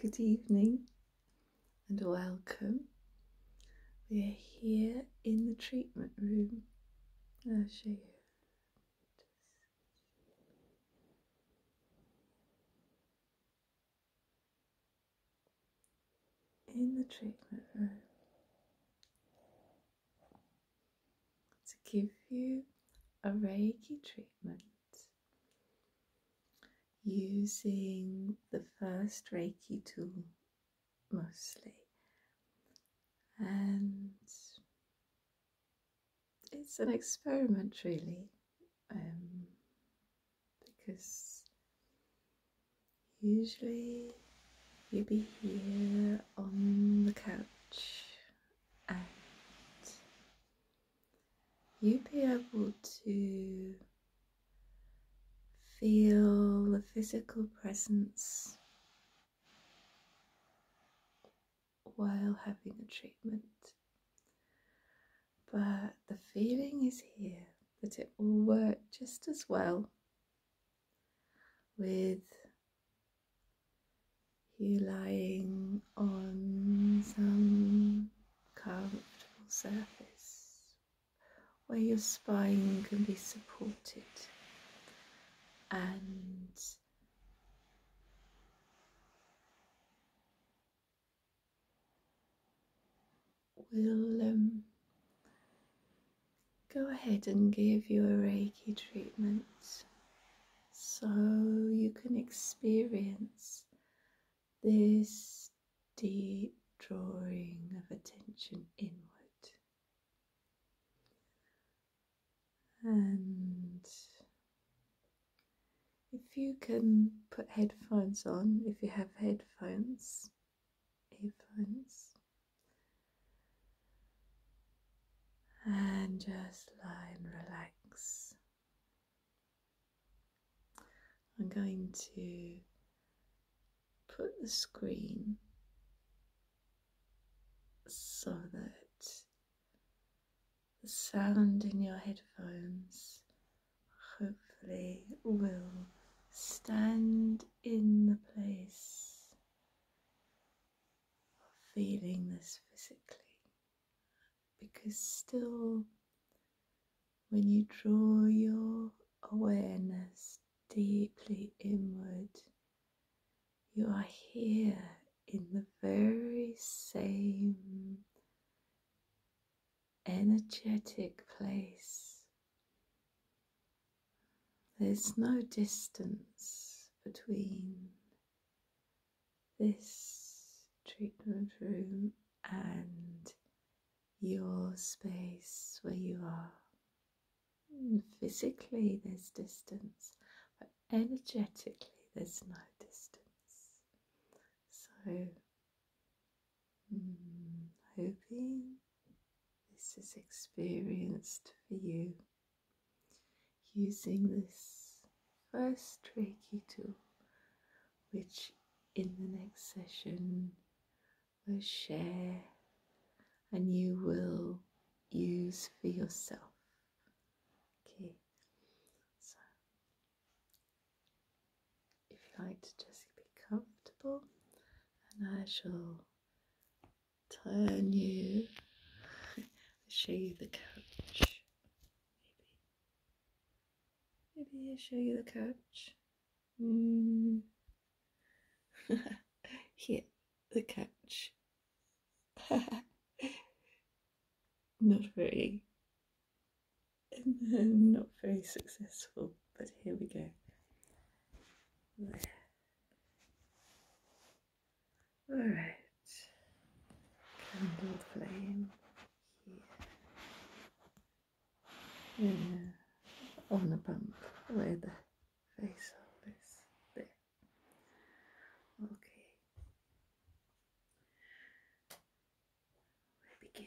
Good evening and welcome. We are here in the treatment room. I'll show you. In the treatment room, to give you a Reiki treatment using the first Reiki tool mostly, and it's an experiment, really, um, because usually you'd be here on the couch and you'll be able to feel the physical presence while having a treatment. But the feeling is here that it will work just as well with you lying on some comfortable surface where your spine can be supported and will um, go ahead and give you a Reiki treatment so you can experience this deep drawing of attention inward. And if you can put headphones on, if you have headphones, earphones, and just lie and relax. I'm going to put the screen so that the sound in your headphones hopefully will stand in the place feeling this physically because still when you draw your awareness deeply inward you are here in the very same energetic place there's no distance between this treatment room and your space where you are. Physically, there's distance, but energetically, there's no distance. So, mm, hoping this is experienced for you using this first Reiki tool, which in the next session we'll share and you will use for yourself. Okay, so if you like to just be comfortable, and I shall turn you, show you the couch. Maybe, maybe I'll show you the couch. Mm. Here, the couch. not very, not very successful, but here we go. All right, candle flame here on the pump where the face of is there. Okay, begin.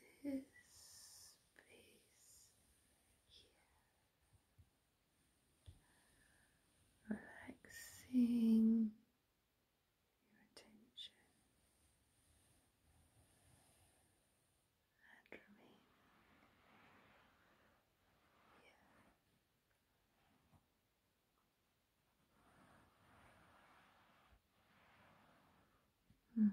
Just this space here, relaxing your attention and remain here. Hmm.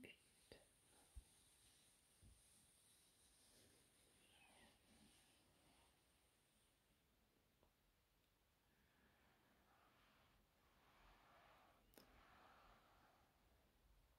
Yeah. Beautiful. Yeah.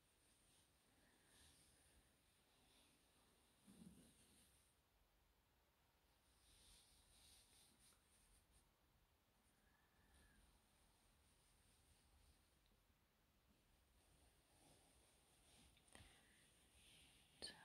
Darling, here with this space.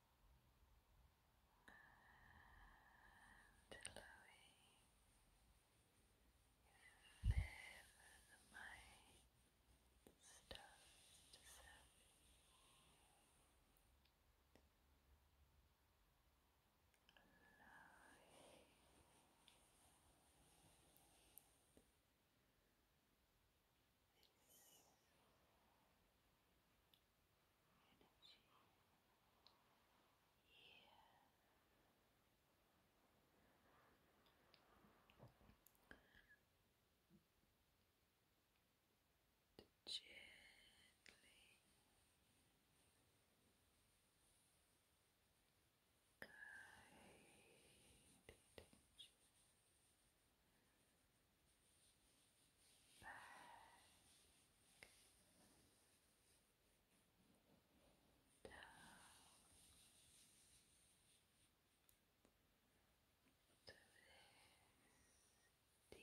and allowing you wherever the mind starts energy here. Gently guide attention back. Down. To this deep Here.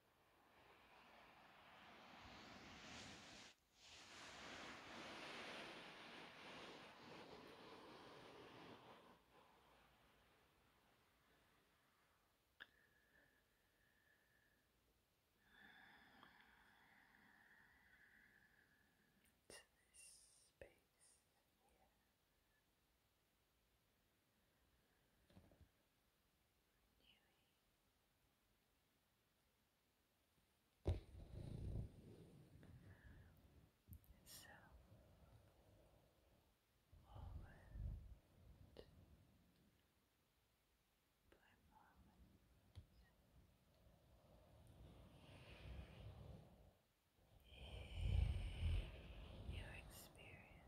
To this space here. Anyway. So moment by moment your experience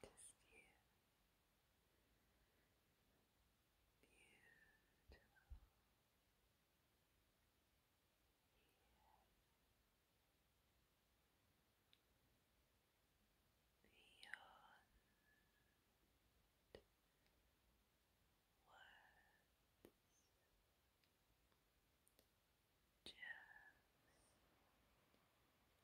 Just you. Beautiful. Here beyond words. Just experience of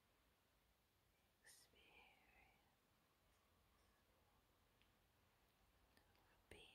being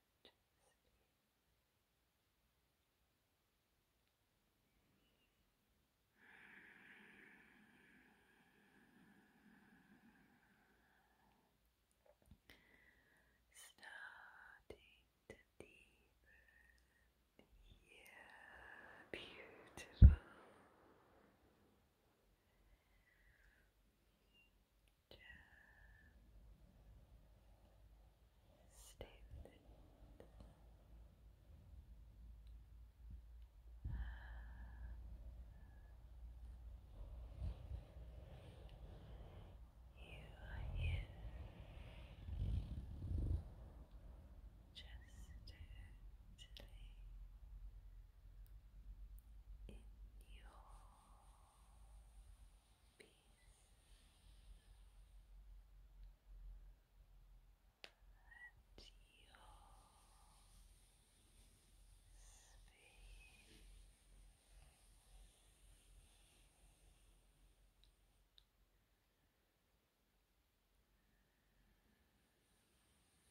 Just starting yeah, beautiful. Just stay with it. You are here just totally in your peace. And space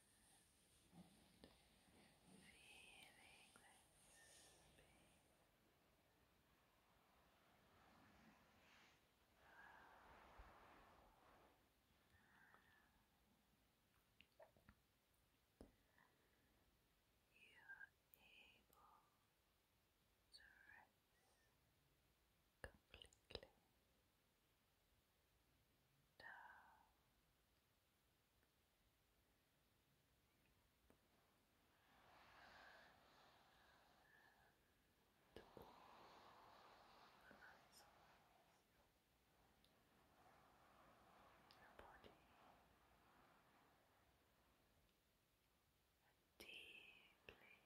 Feeling You are able to rest Completely and all the muscles your body and deeply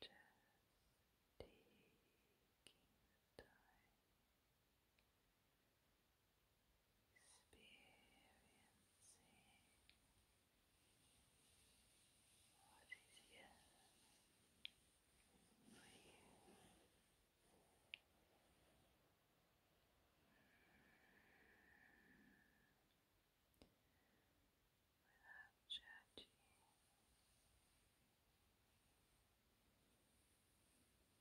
Just taking time experiencing what is here for you. Without judging,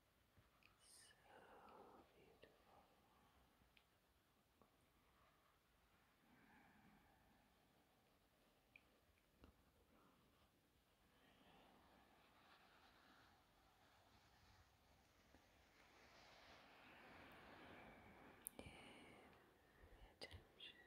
So beautiful. Yeah, attention.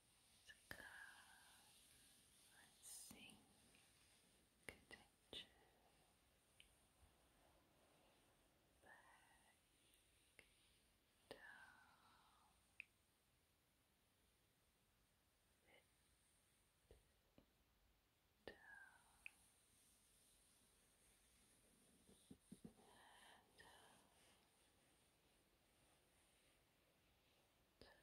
let's see, contention, back, down, down, down bottom,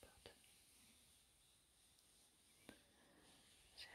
bottom, just out here. Just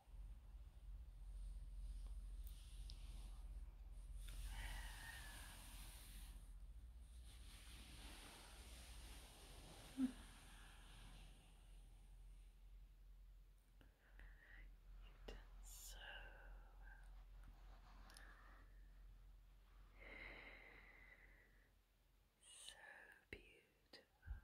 You did so So beautiful, gracious.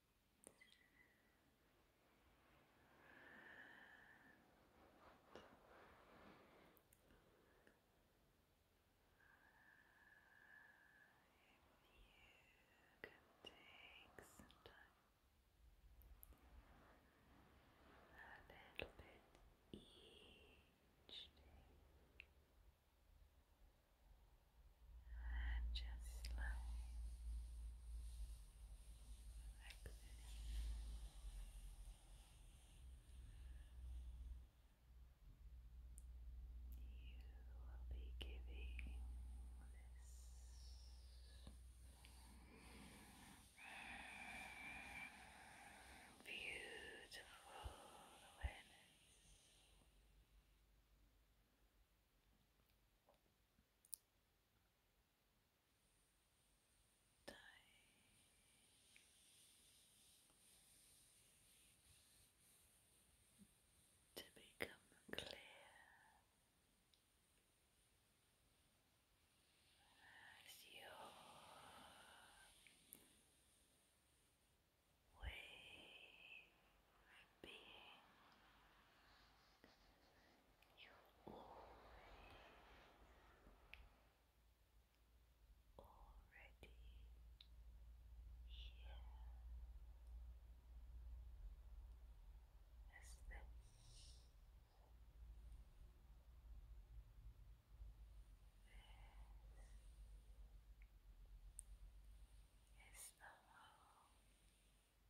If you can take some time, a little bit each day, and just slowly like You will be giving this beautiful Awareness dying. To become clear as your way being. You're already, here as this. is the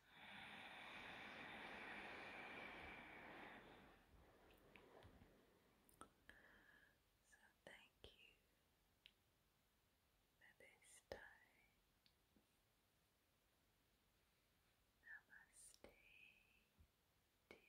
So thank you for this time. Namaste, dear